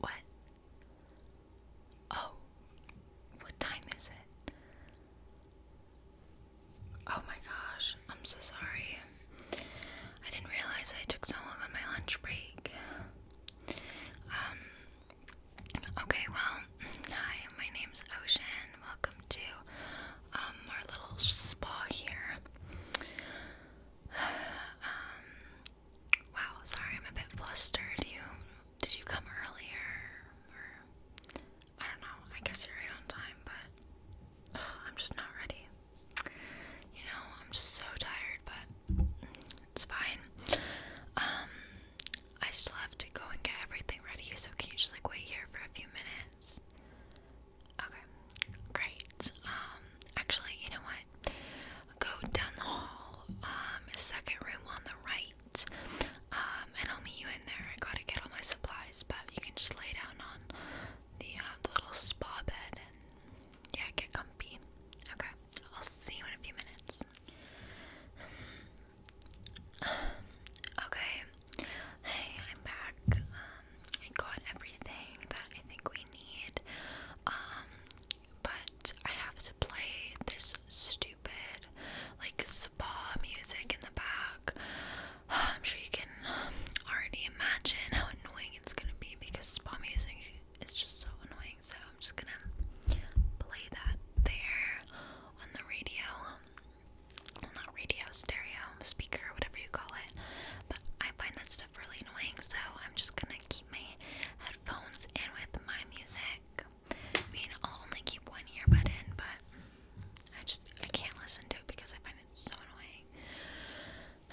What? Oh, what time is it? Oh my gosh, I'm so sorry. I didn't realize I took so long on my lunch break. Um, okay, well, hi, my name's Ocean. Welcome to um, our little spa here. Um, wow, sorry, I'm a bit flustered. You, did you come earlier? I don't know, I guess you're on time, but I'm just not ready you know, I'm just so tired, but it's fine. Um, I still have to go and get everything ready, so can you just like wait here for a few minutes? Okay, great. Um, actually, you know what? Go down the hall, um, second room on the right, and I'll meet you in there. I gotta get all my supplies, but you can just lay down on the, uh, little spa bed yeah, get comfy. Okay, I'll see you in a few minutes. Okay, hey, I'm back. Um, I got everything that I think we need. Um, but I have to play this stupid, like, spa music in the back. I'm sure you can already imagine how annoying it's gonna be because spa music is just so annoying. So I'm just gonna play that there on the radio. Well, not radio, stereo, speaker, whatever you call it. But I find that stuff really annoying, so I'm just gonna keep my headphones in with my music. I mean, I'll only keep one earbud in, but I just I can't listen to it because I find it so annoying.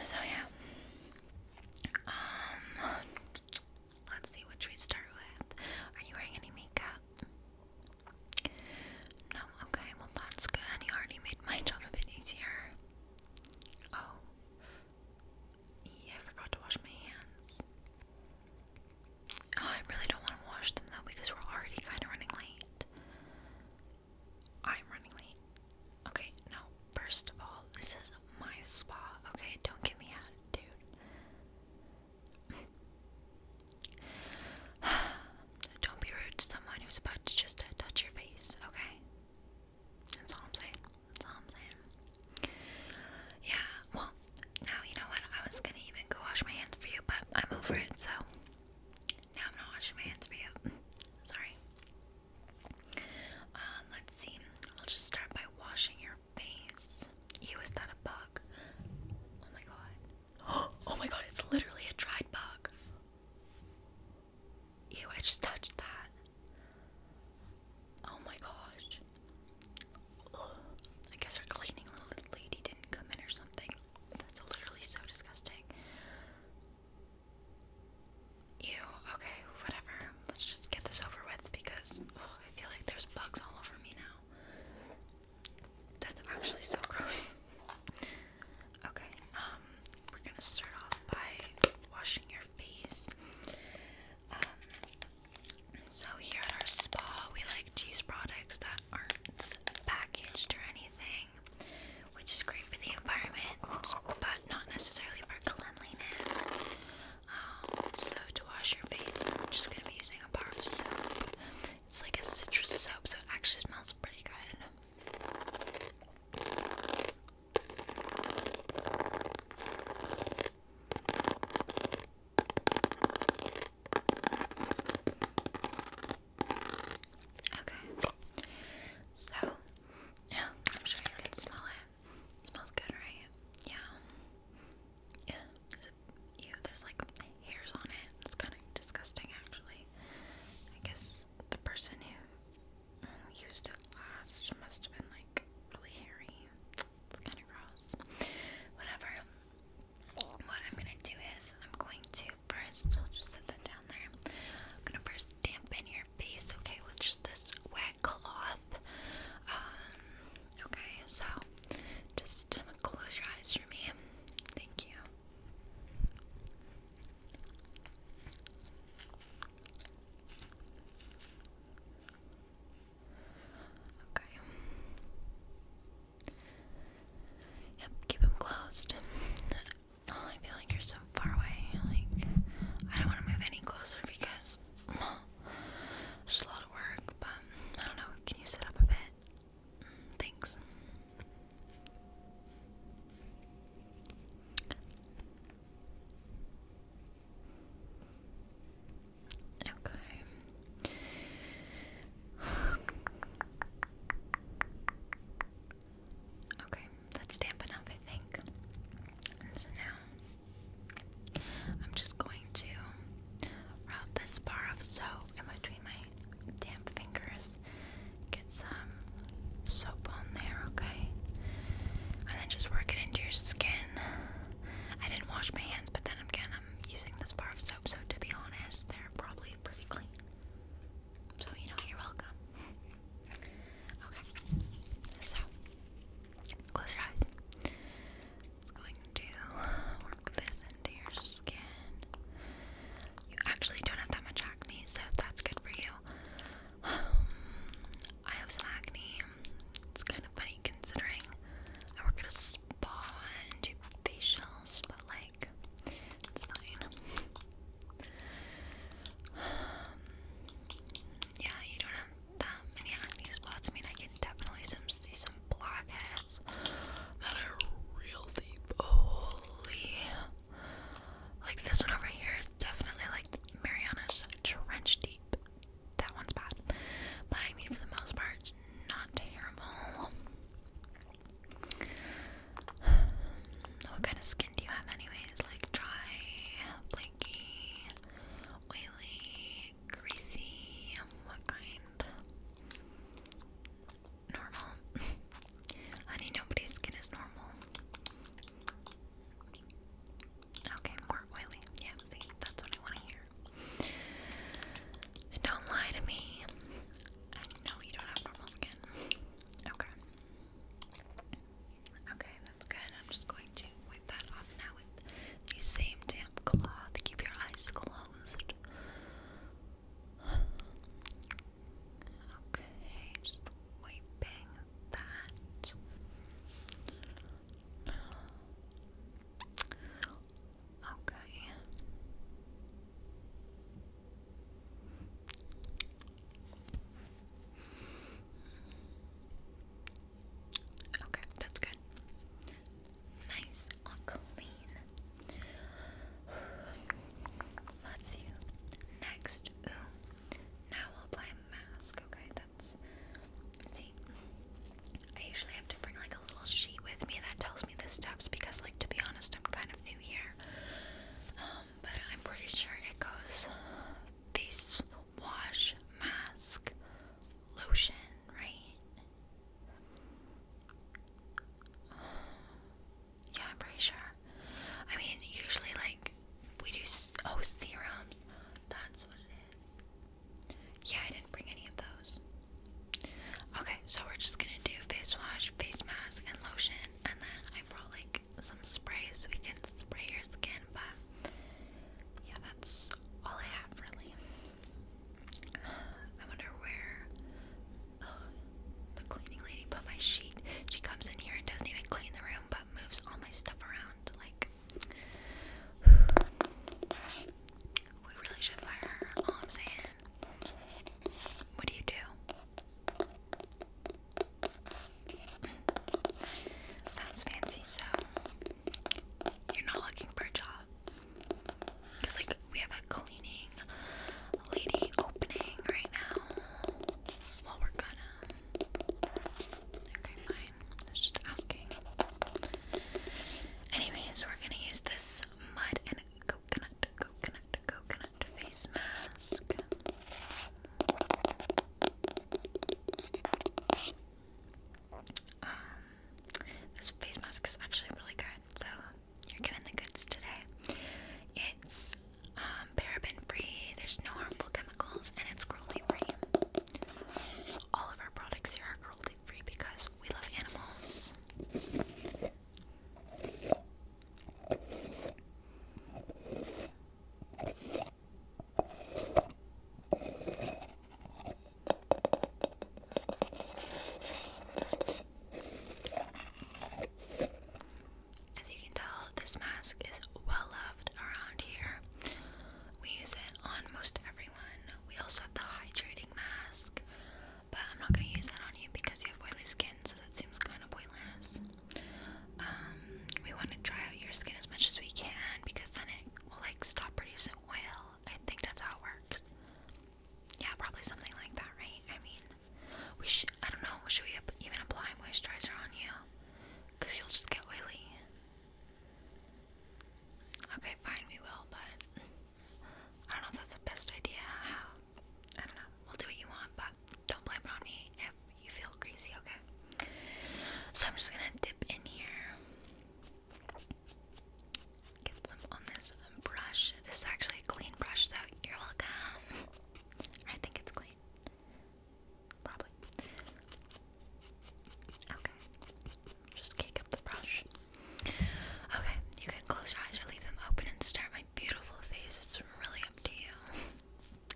So yeah. Um let's see what we start with. Are you wearing any makeup? No, okay, well that's good. You already made my job a bit easier. Oh. Yeah, I forgot to wash my hands. Oh, I really don't want to wash them though because we're already kind of running late. I'm running late. Okay, no. First of all, this is my spa. Okay, don't give me attitude. don't be rude to someone who's about to just touch your face. Okay, that's all I'm saying. That's all I'm saying. Yeah. Well, now you know what. I was gonna even go wash my hands for you, but I'm over it. So now I'm gonna wash my hands for you. Sorry. Um, let's see. I'll just start by washing your face. Ew, is that a bug? Oh my god. Oh my god, it's literally a dried bug. Ew, I just touched that. Oh my gosh. I guess our cleaning little lady didn't come in or something. That's literally so disgusting. Ew, okay, whatever. Let's just get this over with because I feel like there's bugs all over me now. That's actually so gross. Okay, um, we're gonna start off by washing your face. Um, so here at our spa, we like to use products that aren't packaged or anything which is great for the environment, but not necessarily for cleanliness. Um, so to wash your face, I'm just gonna be using a bar soap. It's like a citrus soap, so it actually smells pretty good. Okay. So, yeah, I'm sure you can smell it. smells good, right? Yeah. Yeah. there's like hairs on it. It's kind of disgusting, actually. I guess the person who used it last must have been like really hairy. It's kind of gross. Whatever. What I'm gonna do is I'm going to first. I'll just set that down there. I'm gonna first dampen your face, okay, with just this wet cloth. Um, okay, so just um, close your eyes for me. Thank you. Okay. Yep, keep them closed. Oh, I feel like you're so far away. Like, I don't want to move any closer because it's a lot of work, but I don't know. Can you sit up a bit? Thanks. Okay. Okay, that's damp enough, I think. so now I'm just going to rub this bar of soap in between my damp fingers. Get some soap on there, okay? And then just work it into your skin. I didn't wash my hands, but then again, I'm using this bar of soap, so to be honest, they're probably pretty clean. So, you know, you're welcome. okay, so close your eyes. It's going to work this into your skin. You actually don't have that much acne, so that's good for you. Um, I have some acne. It's kind of funny considering I work at a spa and do facials, but like. Um, yeah, you don't have that many acne spots. I mean, I can definitely see some blackheads that are real deep. Holy. Like this one over here is definitely like Mariana's trench deep. That one's bad. But I mean, for the most part, it's not terrible. What kind of skin do you have, anyways? Like dry, flaky, oily, greasy? What kind? Normal. Honey, nobody's skin is normal. Okay, more oily. Yeah, see, that's what I want to hear. Don't lie to me. I you don't have normal skin. Okay. Okay, that's good. I'm just going to wipe that off now with the same damp cloth. Keep your eyes closed. Okay, just wiping that. Okay. Okay, that's good. Nice and clean. Let's Next, now I'll apply mask. Okay, that's. See, I usually have to bring like a little sheet with me that tells the steps because, like, to be honest, I'm kind of new here. Um, but I'm pretty sure it goes face wash, mask, lotion, right? Yeah, I'm pretty sure. I mean, usually, like, we do. Oh, serums. That's what it is. Yeah, I didn't bring any of those. Okay, so we're just gonna do face wash, face mask, and lotion, and then I brought like some spray so we can spray your skin, but yeah, that's all I have really. I wonder where oh, the cleaning lady put my sheet. She comes in here and doesn't even clean the room, but moves all my stuff around. Like, we really should fire her, all I'm saying. What do you do? Sounds fancy, so you're not looking for a job. Because, like, we have a cleaning lady opening right now. Well, we're gonna. Okay, fine. just asking. Anyways, we're gonna use this mud and coconut, coconut, coconut face mask. Um, this face mask is actually really good, so you're getting the goods today. It's um, paraben free, there's no harmful chemicals, and it's cruelty free. All of our products here are cruelty free because we love animals. As you can tell, this mask is well loved around here. We use it on most everyone. We also have the hydrating mask. But I'm not gonna use that on you because you have oily skin, so that seems kind of pointless. Um, we want to dry out your skin as much as we can because then it will like stop producing oil. I think that's how it works. Yeah, probably something like that, right? I mean, we should. I don't know. Should we even apply moisturizer on you? Cause you'll just get oily. Okay, fine, we will, but I don't know if that's the best idea. How I don't know. We'll do what you want, but don't blame it on me if you feel crazy, okay? So I'm just gonna dip in here. Get some on this brush. This is actually a clean brush, so you're welcome. I think it's clean. Probably. Okay. Just kick up the brush. Okay, you can close your eyes or leave them open and stare at my beautiful face. It's really up to you.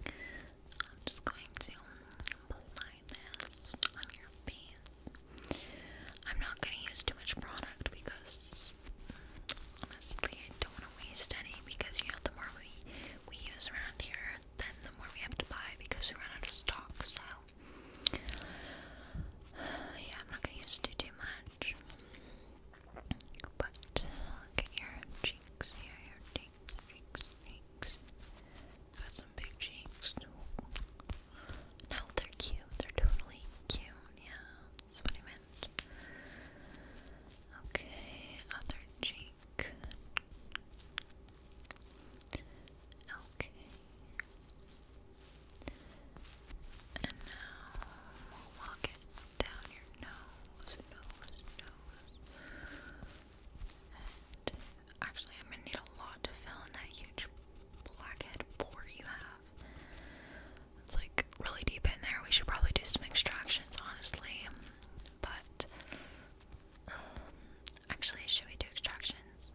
I'm just going to apply this on your face. I'm not going to use too much product because honestly, I don't want to waste any because you know, the more we, we use around here, then the more we have to buy because we run out of stock. So yeah, I'm not gonna use it too much. But look at your cheeks your cheeks, cheeks, cheeks. Got some big cheeks. No, they're cute. They're totally cute. Yeah, that's what I meant. Okay, other cheek. Okay. And now we'll walk it down your nose, nose, nose. And actually, I'm gonna need a lot to fill in that huge blackhead pore you have. It's like really deep in there. We should probably do some extractions, honestly. But um, actually, should we do extractions?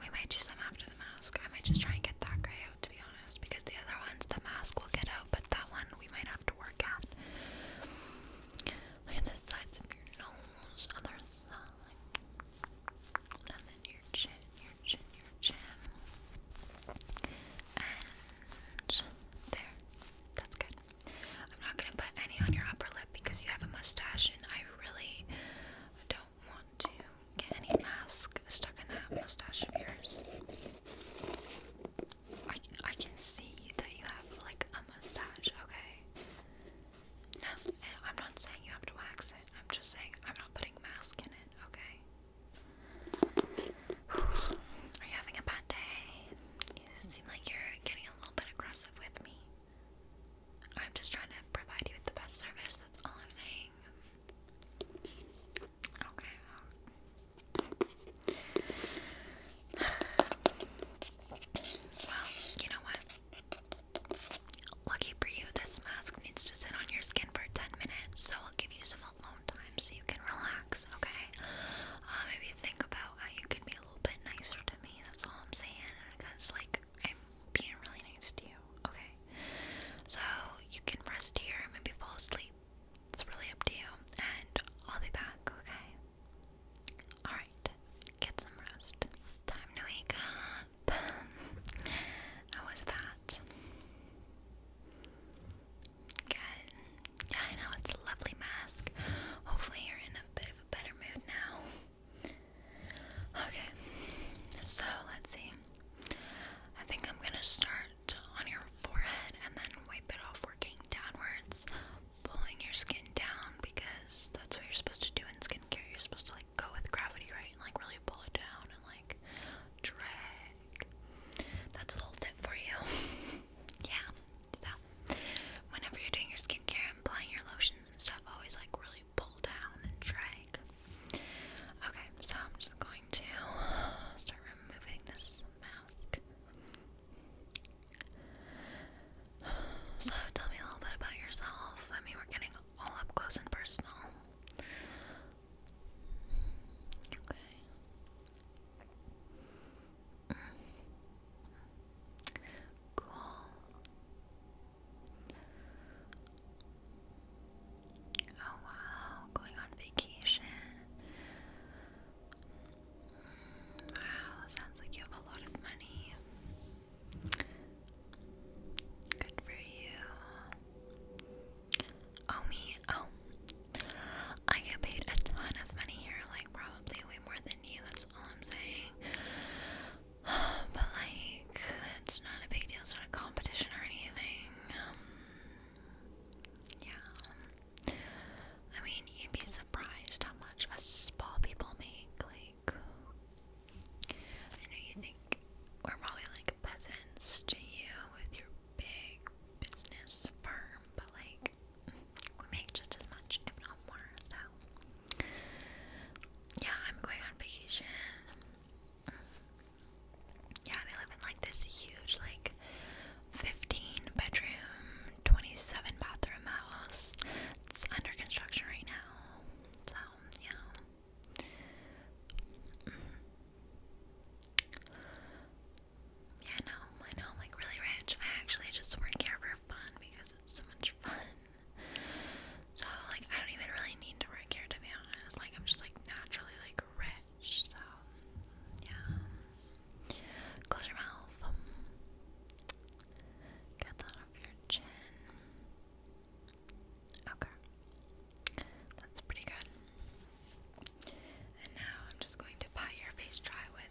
We might just them after the mask. I might just try and get that guy out, to be honest, because the other ones, the mask will get out, but that one we might have to work at. And the sides of your nose, other side, and then your chin, your chin, your chin, and there. That's good. I'm not gonna put any on your upper because you have a mustache and I really don't want to get any mask stuck in that mustache of yours. I, I can see that you have like a mustache, okay? No, eh, I'm not saying you have to wax it. I'm just saying I'm not putting mask in it, okay? Are you having a bad day? You seem like you're getting a little bit aggressive with me. I'm just trying to provide you with the best service, that's all I'm saying. Okay. Um. Well, you know what? Lucky for you, this mask needs to sit on your skin for 10 minutes, so I'll give you some alone time so you can relax, okay? Uh, maybe think about how you can be a little bit nicer to me, that's all I'm saying because like I'm being really nice to you. Okay, so you can rest here maybe fall asleep. It's really up to you, and I'll be back. Okay. All right. Get some rest. time to wake up. How was that? Good. Yeah, I know it's a lovely mask. Hopefully, you're in a bit of a better mood now. Okay, so let's see. I think I'm gonna start on your forehead and then wipe it off, working downwards, pulling your skin down because that's what you're supposed to do in skincare. You're supposed to like go with gravity, right? And like really pull it down and like drag. That's a little tip for you. yeah stuff. Whenever you're doing your skincare and applying your lotions and stuff, always like really pull down and drag. Okay, so I'm just going to start removing this mask. So tell me a little bit about yourself. I mean, we're getting all up close and personal. Okay. Cool. Oh wow, going on vacation. Wow, sounds like you have a lot of money. Good for you. Oh, me. Oh. I get paid a ton of money here, like, probably way more than you. That's all I'm saying. But like, it's not a big deal. It's not a competition or anything. Um, yeah. I mean, you'd be surprised how much a spa people make. Like, I know you think we're probably like peasants to you with your big business firm, but like, make we make just as much, if not more. So yeah, I'm going on vacation. Yeah, and I live in like this huge, like 15 bedroom, 27 bathroom house. It's under construction right now. So yeah. Yeah, I I know, I'm like really rich. I actually just work here for fun because it's so much fun. So like I don't even really need to work here to be honest. Like I'm just like naturally like rich. So yeah. Close your mouth. Get that off your chin. Okay. That's pretty good. And now I'm just going to pat your face dry with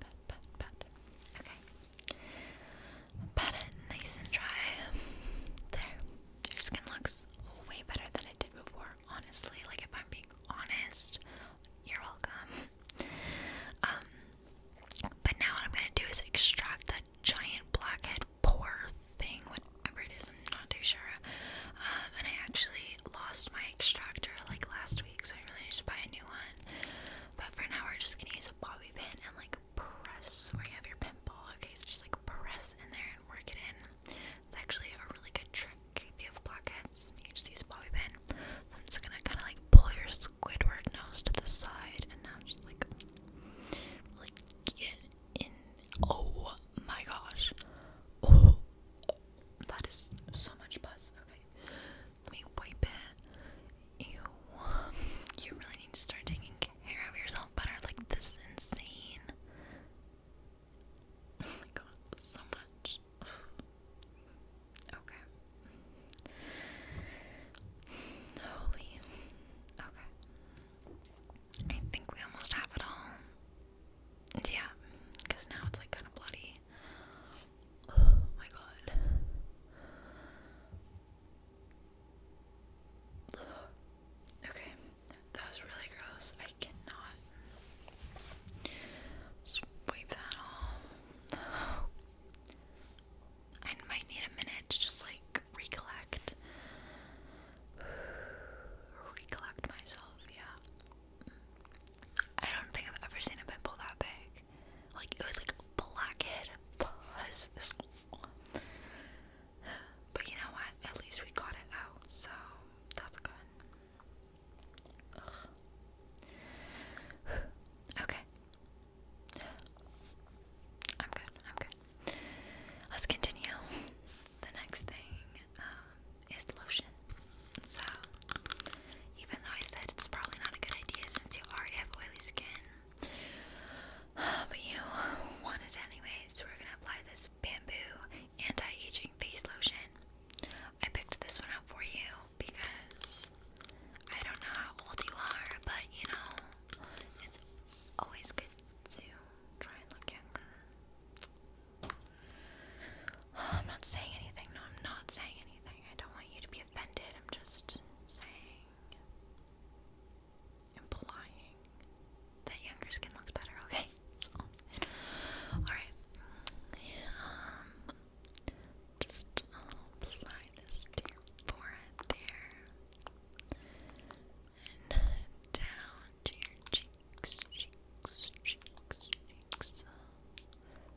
pat, pat, pat. Okay. Pat it nice and dry. There. Your skin looks way better than it did before, honestly. Like, if I'm being honest, you're welcome. Um, but now what I'm gonna do is extract that giant blackhead pore thing, whatever it is, I'm not too sure. Um, and I actually lost my extractor like last week, so I really need to buy a new one. But for now, we're just gonna use a bobby pin and like press where you have your pin Okay, so just like press in there and work it in. It's actually a really good trick. If you have blackheads. you just use a bobby pin. I'm just gonna kind of like pull your Squidward nose to the side and now just like, like get in. Oh my gosh! Oh, that is so much buzz. Let me wipe it. Ew. You really need to start taking care of yourself better. Like, this is insane. Oh my god, so much. Okay. Holy. Okay. I think we almost have it all. Yeah, because now it's like kind of bloody. Oh my god. Okay, that was really gross. I cannot sweep that all. I might need a minute to just like recollect. recollect myself, yeah. I don't think I've ever seen a pimple that big like it was like blackhead But you know what? At least we got it out, so that's good. Okay. I'm good. I'm good. Let's continue. The next thing um, is lotion. So, even though I said it's probably not a good idea since you already have oily skin, but you want it anyways, so we're gonna apply this bamboo anti-aging face lotion. I picked this one up for you because I don't know how old you are, but you know, it's always good to try and look younger. I'm not saying anything. No, I'm not saying anything. I don't want you to be offended. I'm just saying, implying that younger skin looks better. Okay. all right. Um, just apply um, this to your forehead there, and down to your cheeks, cheeks, cheeks, cheeks.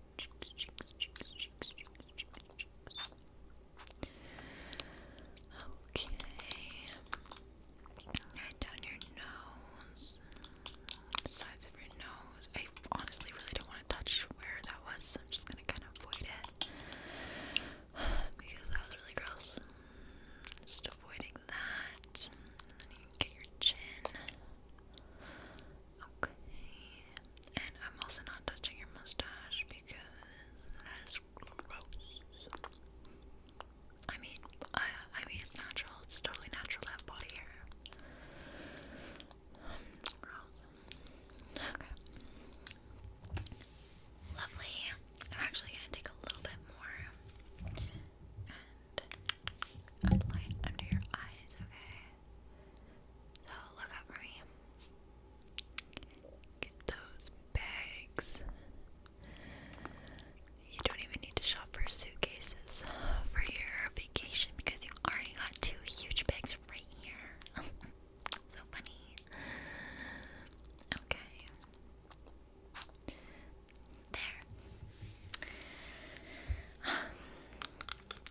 Okay. Right down your nose. sides of your nose. I honestly really don't want to touch where that was, so I'm just gonna kind of avoid it. Because that was really gross. Just avoiding that. then you get your chin. Okay. And I'm also not touching your mustache because that is gross. I mean, uh, I mean it's natural. It's totally natural to have body hair. Okay. Lovely. I'm actually gonna take a little bit more apply it under your eyes, okay? So look up for me. Get those bags. You don't even need to shop for suitcases for your vacation because you already got two huge bags right here. so funny. Okay. There.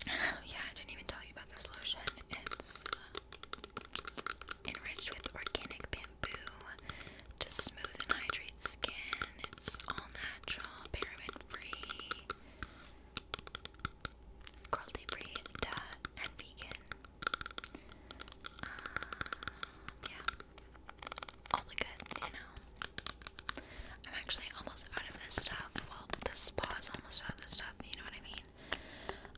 Oh yeah, I didn't even tell you about this lotion. It's uh, enriched with organic bamboo to smooth and hydrate skin. It's all natural, paraben-free, cruelty-free, and vegan. Uh, yeah all the goods, you know. I'm actually almost out of this stuff. Well, the spa's almost out of this stuff, you know what I mean?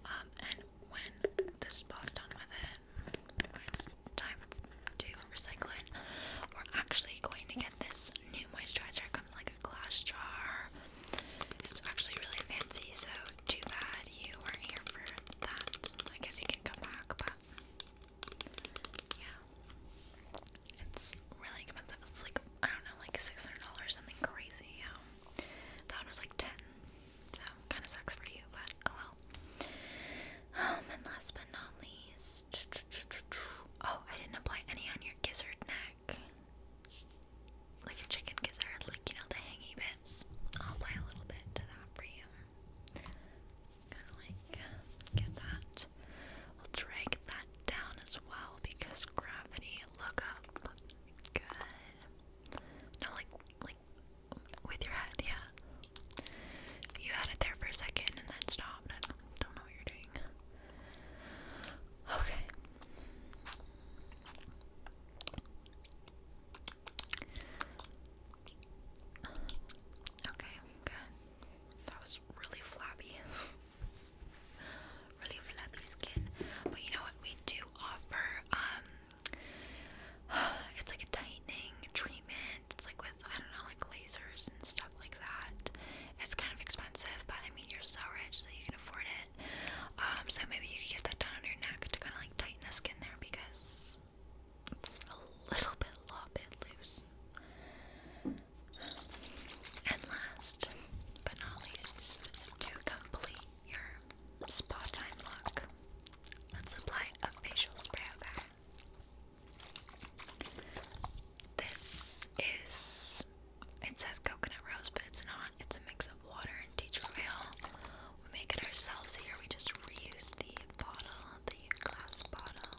Um, and when the spa's done with it, it's time to recycle it, we're actually going to get this new moisturizer. It comes like a glass jar. It's actually really fancy, so too bad you weren't here for that. I guess you can come back, but yeah. It's really expensive. It's like, I don't know, like $600, something crazy. Yeah. Um, that was like 10 So, kind of sucks for you, but oh well. Um, and last but not least. Oh, I didn't apply any on your gizzard neck. Like a chicken gizzard, like, you know, the hangy bits. I'll apply a little bit to that for you. Kinda like get that. We'll drag that down as well because gravity look up. Good. No, like like with your head, yeah. You had it there for a second and then stopped. don't know what you're doing. Okay. Okay, good that was really flabby. really flabby skin. But you know what? We do offer um, it's like a tightening treatment. It's like with I don't know, like lasers and stuff like that. It's kind of expensive, but I mean you're so rich that you can afford it. Um, so maybe you could get that done on your neck to kind of like tighten the skin there because it's a little bit, a little loose. And last but not least, to complete your spa time look, let's apply a facial spray. Okay. This is it says coconut rose, but it's not. It's a mix of water and tea tree oil. We make it ourselves here. We just reuse the bottle, the glass bottle.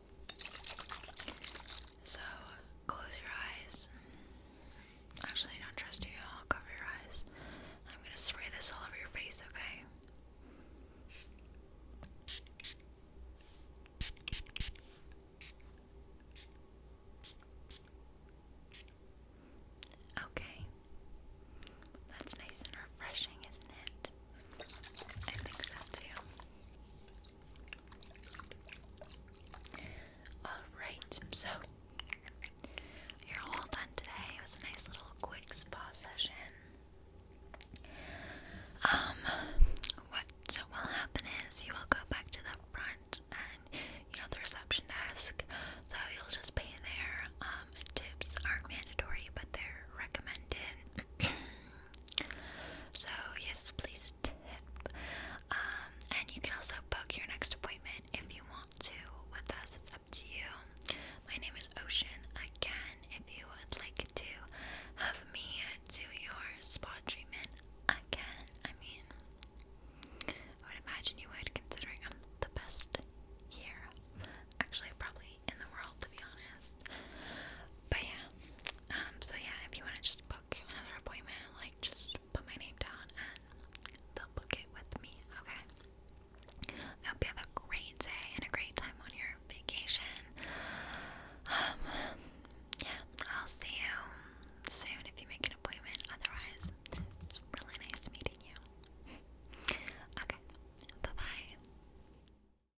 So close your eyes. Actually, I don't trust you. I'll cover your eyes. I'm gonna spray this all over your face, okay? Okay. That's nice and refreshing, isn't it? I think so too. Alright, so you're all done today. It was a nice little quick spa session. Um, what will happen is you will go back to the front and you know the reception desk, so you'll just pay there. Um, tips aren't mandatory, but they're recommended. So yes, please tip. Um, and you can also book your next appointment if you want to with us. It's up to you. My name is Ocean. Again, if you would like to have me do your spa treatment again, I mean, I would imagine you would, considering I'm the best here. Actually, probably in the world, to be honest. But yeah, um, so yeah, if you want to just book another appointment, like just put my name down and they'll book it with me, okay? I hope you have a great day and a great time on your vacation. Um, yeah, I'll see you soon if you make an appointment. Otherwise, it's really nice meeting you. okay, bye bye.